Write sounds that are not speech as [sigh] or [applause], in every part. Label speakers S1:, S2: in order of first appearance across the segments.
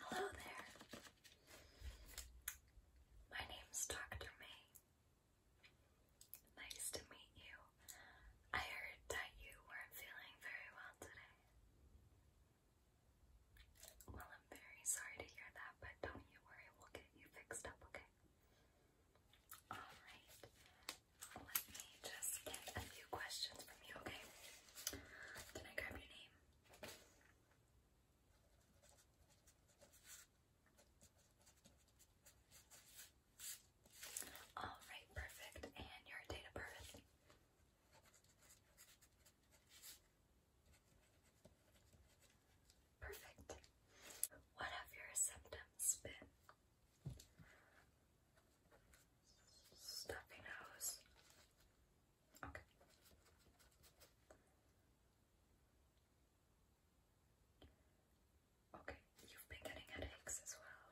S1: Hello there. My name's Dr. May. Nice to meet you. I heard that you weren't feeling very well today. Well, I'm very sorry to hear that, but don't you worry, we'll get you fixed up, okay? Alright, let me just get a few questions from you, okay? Can I grab your name? All right, perfect. And your date of birth? Perfect. What have your symptoms been? stuffy nose. Okay. Okay, you've been getting headaches as well.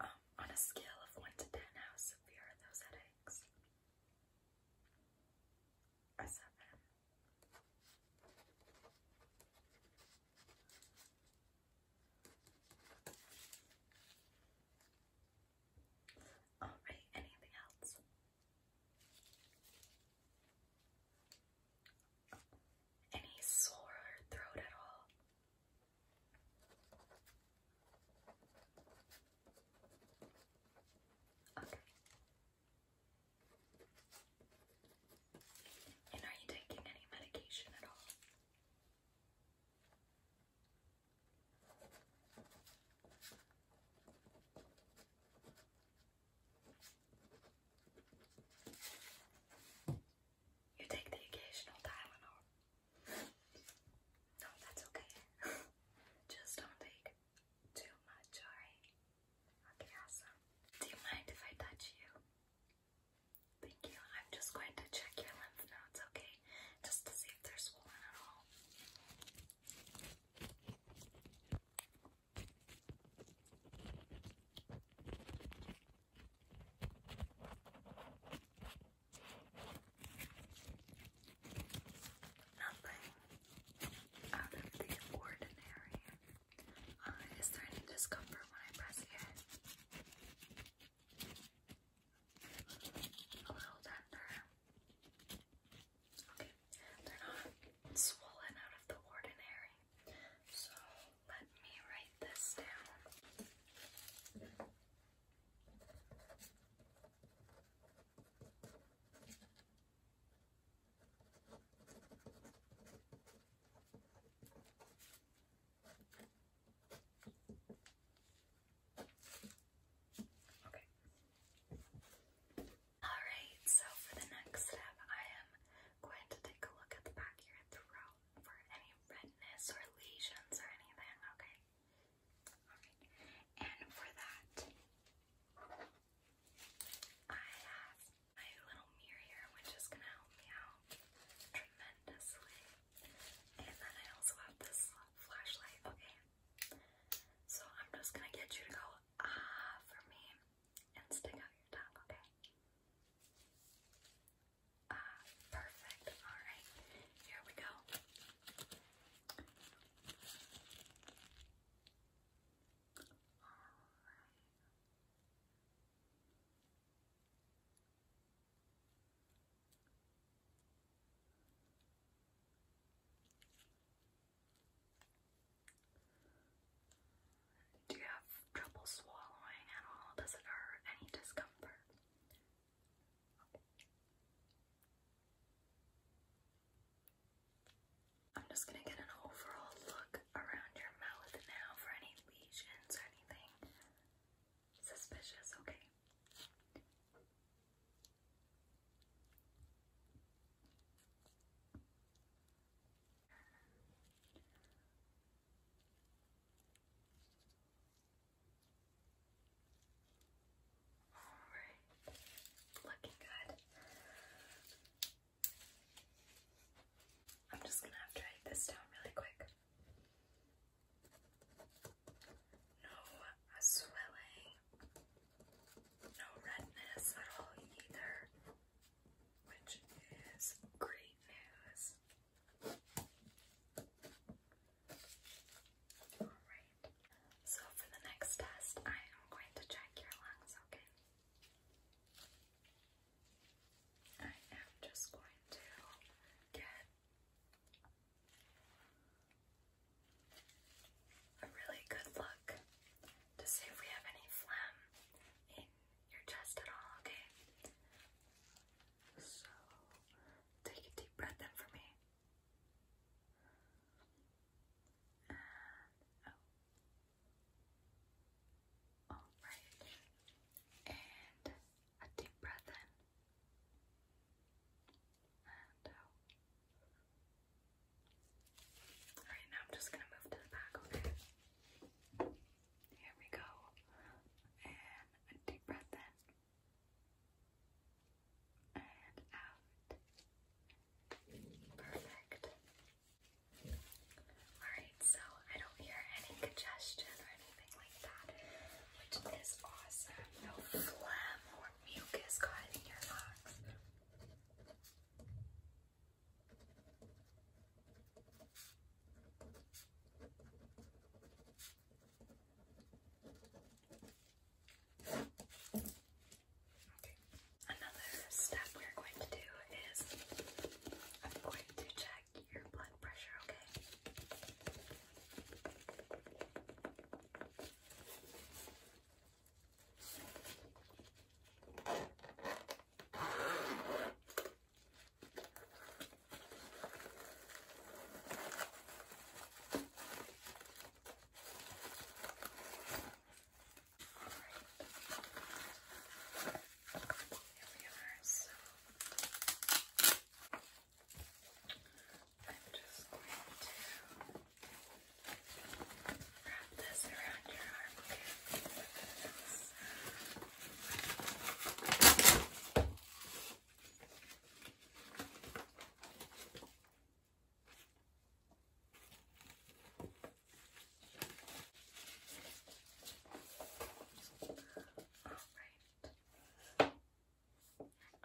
S1: Um, on a scale of 1 to 10, how severe are those headaches? A 7. All right, anything else? Any sore throat at all? Okay. And are you taking any medication at all? You take the occasional Tylenol. No, that's okay. [laughs] Just don't take too much, alright? Okay, awesome. Do you mind if I touch you? Thank you. I'm just going to check your lymph nodes, okay? Just to see if they're swollen at all. Nothing out of the ordinary. Uh, is there any discomfort when I press it? A little tender. Okay, they're not swollen out of the ordinary. So let me write this down. Okay. Alright, so for the next step, I am going to take a look at the back of your throat for any redness or lesions or anything, okay? and for that, I have my little mirror which is gonna help me out tremendously. And then I also have this flashlight. Okay, so I'm just gonna get you to go ah for me and stick out your tongue. Okay. Ah, perfect. All right, here we go. All right. Do you have trouble swallowing at Does it hurt? Any discomfort? I'm just gonna get an overall look around your mouth now for any lesions or anything suspicious, okay? All right, looking good. I'm just gonna have to write this down really quick. No swelling, no redness at all either, which is great news. Alright, so for the next test, I am going to check your lungs, okay? I am just going to get a really good look to see if we have any phlegm in your chest at all, okay? So, take a deep breath in for me. Oh. Alright, and a deep breath in and out. Alright, now I'm just gonna move to the back, okay? Here we go. And a deep breath in and out. Perfect. Alright, so I don't hear any congestion or anything like that, which is awesome. No phlegm or mucus caught your lungs. Another step we're going to do is I'm going to check your blood pressure, okay? Here we are. So I'm just going to wrap this around your arm Okay,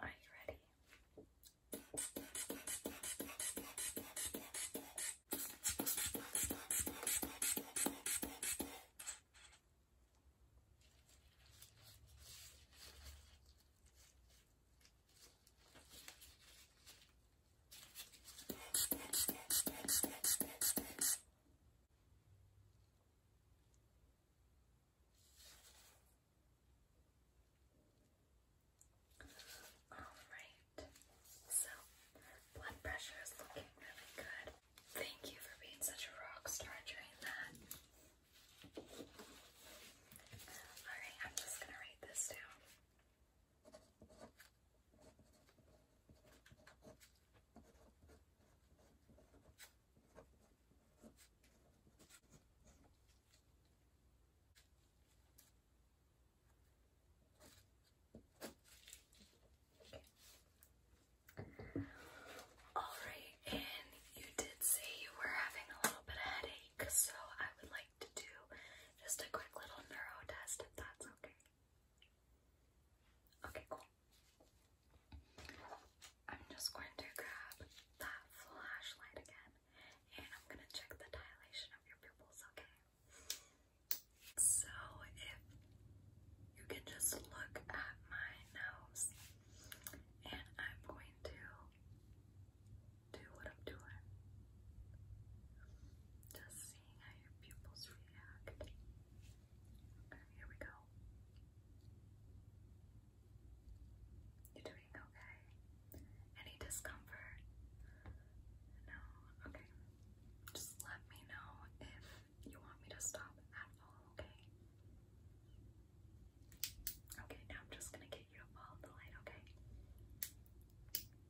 S1: Alright. Are you ready? Alright, so blood pressure is looking really good. Thank you for being such a rock star during that. Alright, I'm just gonna write this down. Alright, and you did say you were having a little bit of headache, so I would like to do just a quick little neuro test if that's okay. Okay, cool. I'm just going to grab that flashlight again and I'm going to check the dilation of your pupils, okay? So, if you can just look at my nose and I'm going to do what I'm doing. Just seeing how your pupils react. here we go. You're doing okay? Any discomfort? No? Okay. Just let me know if you want me to stop at all, okay? Okay, now I'm just gonna get you to follow the light, okay?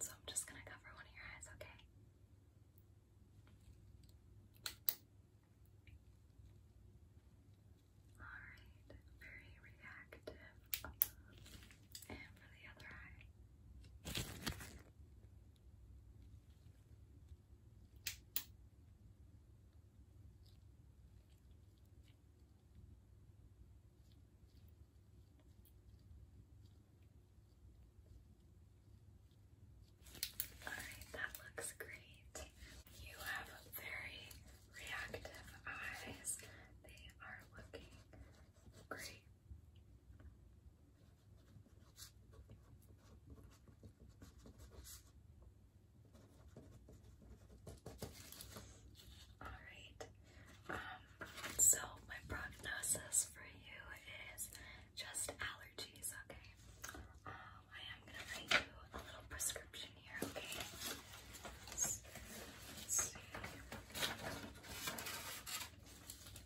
S1: So I'm just going to cover one of your eyes, okay? All right, very reactive. And Alright, that looks great. You have very reactive eyes. They are looking great Alright, um, so my prognosis for you is just allergies, okay? Um, I am gonna write you a little prescription here, okay?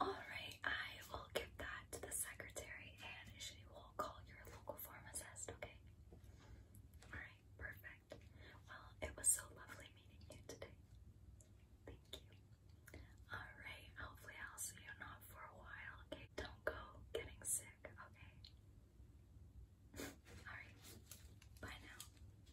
S1: Alright, I will give that to the secretary and she will call your local pharmacist, okay? Alright, perfect. Well, it was so lovely meeting you today. Thank you. Alright, hopefully I'll see you not for a while, okay? Don't go getting sick, okay? [laughs] Alright, bye now.